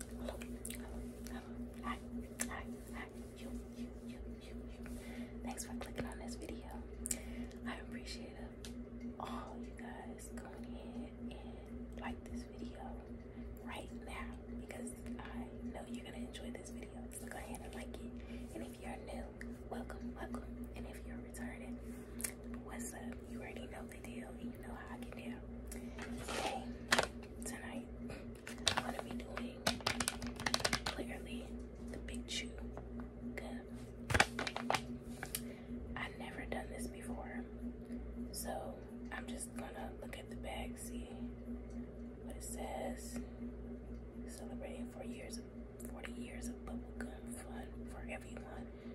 Hello, hello, hello. Hi, hi, hi. You, you, you, you, Thanks for clicking on this video. I appreciate all you guys going in and like this video right now because I know you're gonna enjoy this video. So go ahead and like it. And if you're new, welcome, welcome. And if you're returning, what's up? You already know the deal. You know how I get down. Today, tonight, I'm going doing clearly the big chew. I've never done this before, so I'm just gonna look at the bag, see what it says. Celebrating four years, forty years of bubblegum fun for everyone.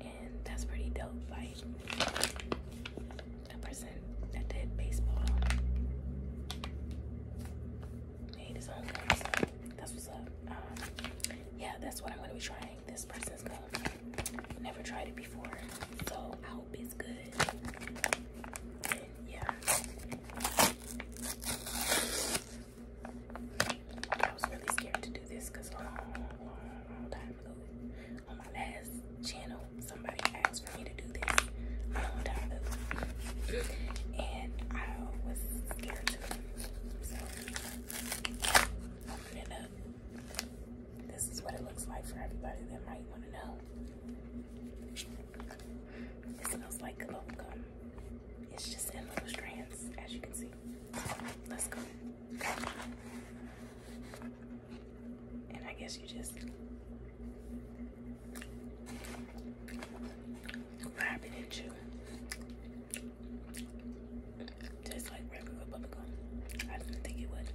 and that's pretty dope. Fight that person that did baseball made his own that's what's up. Um, yeah, that's what I'm gonna be trying. This person's gum, never tried it before, so I hope it's good. yeah. I was really scared to do this because um, long, long, long time ago on my last channel, somebody asked for me to do this a long time ago, and I was scared to. So, open it up. This is what it looks like for everybody that might want to know. It smells like bubblegum. It's just in little strands, as you can see. Let's go. And I guess you just grab it and chew. Just like regular bubble gum. I didn't think it would.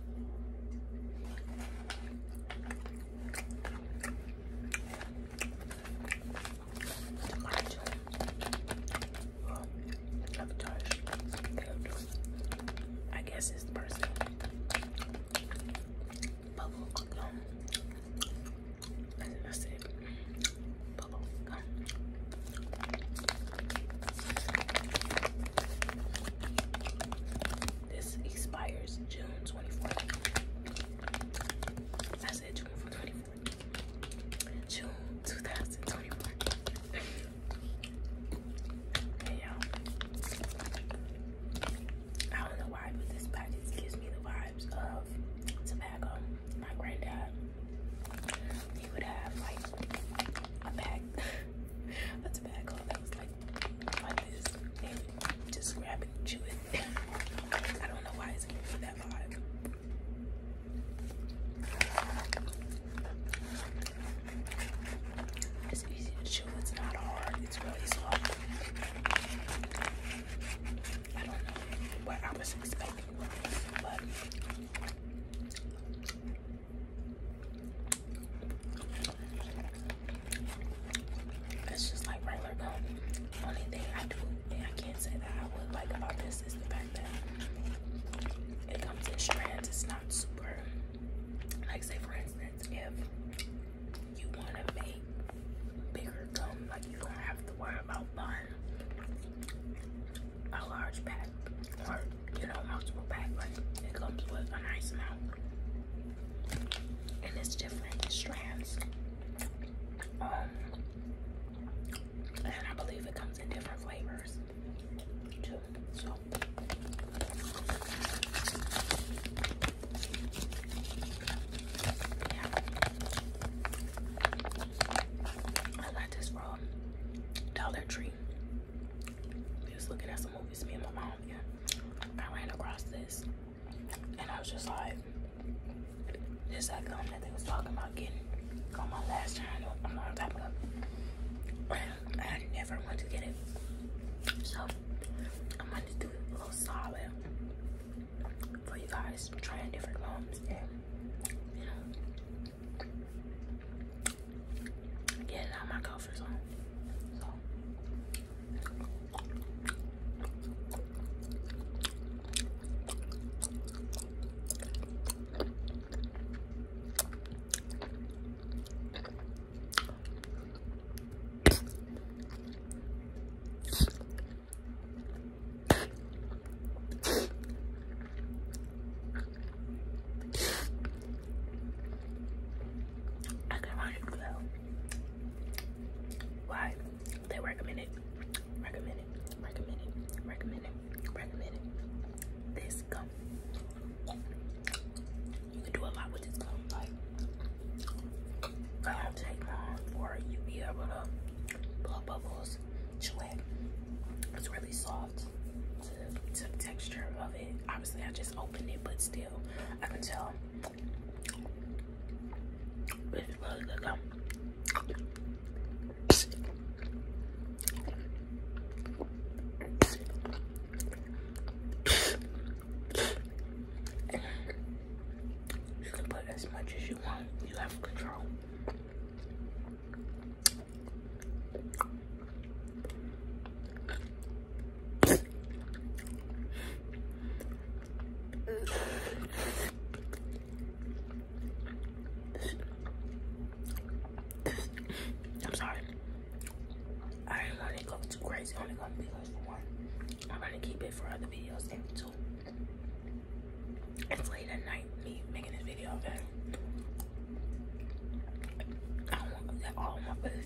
I guess it's person. Bubble gum. I said bubble gum. This expires June 24th. June for June 2024. hey y'all. I don't know why, but this package gives me the vibes of tobacco. My granddad, he would have like a pack of tobacco that was like like just grab it I don't know why it's giving me that vibe. It's easy to chew, it's not hard, it's really soft. I don't know what I was expecting but it's just like regular gum. Only I do thing I can't say that I would like about this is the fact that it comes in strands. It's not super, like say for instance, if you want to make bigger gum, like you don't have to worry about buying a large pack or, you know, multiple pack. Like it comes with a nice amount. And it's different strands. Um, and I believe it comes in different flavors too. So yeah. I got this from um, Dollar Tree. We looking at some movies, me and my mom, and I ran across this. And I was just like, this that gum that they was talking about getting on my last channel a long time ago. And I never want to get it. So I'm gonna do a little solid for you guys trying different gums and getting out my comfort on. I can run it why? They recommend it. Recommend it. Recommend it. Recommend it. Recommend it. This gum. You can do a lot with this gum. Like, it uh, don't take long for you be able to blow bubbles, chew it. It's really soft to, to the texture of it. Obviously, I just opened it, but still, I can tell it you put as much as you want. You have control. I'm sorry. I ain't gonna go too crazy. I'm only gonna do this for one. I'm gonna keep it for other videos and two. It's late at night, me making this video, okay? I don't want all in my face.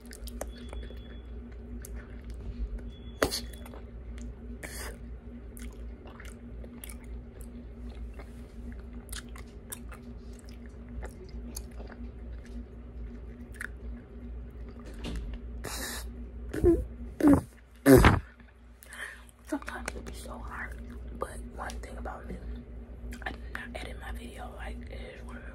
Sometimes it be so hard, but one thing about me, I do not edit my video like it is where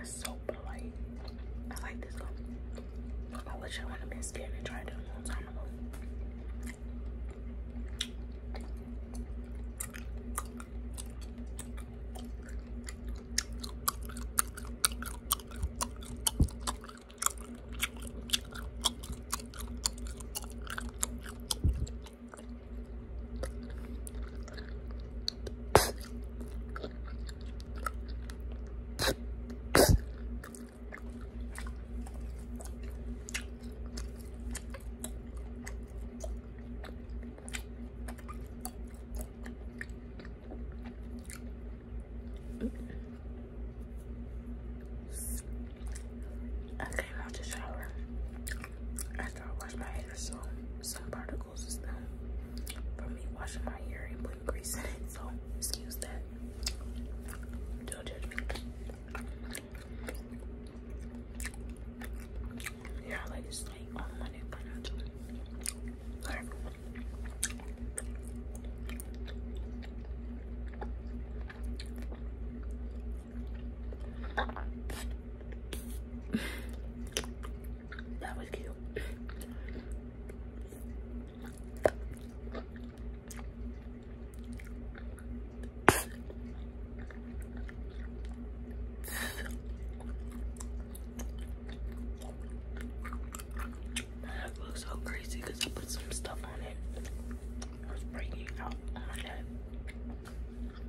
It's so polite. I like this one. I wish I would have been scared and tried it a long time I came out the shower after I washed my hair there's some particles is stuff for me washing my hair and putting grease in it. So excuse that. Don't judge me. Yeah, like it's like on my neck right now that was cute. That looks so crazy because I put some stuff on it. I was breaking out my head.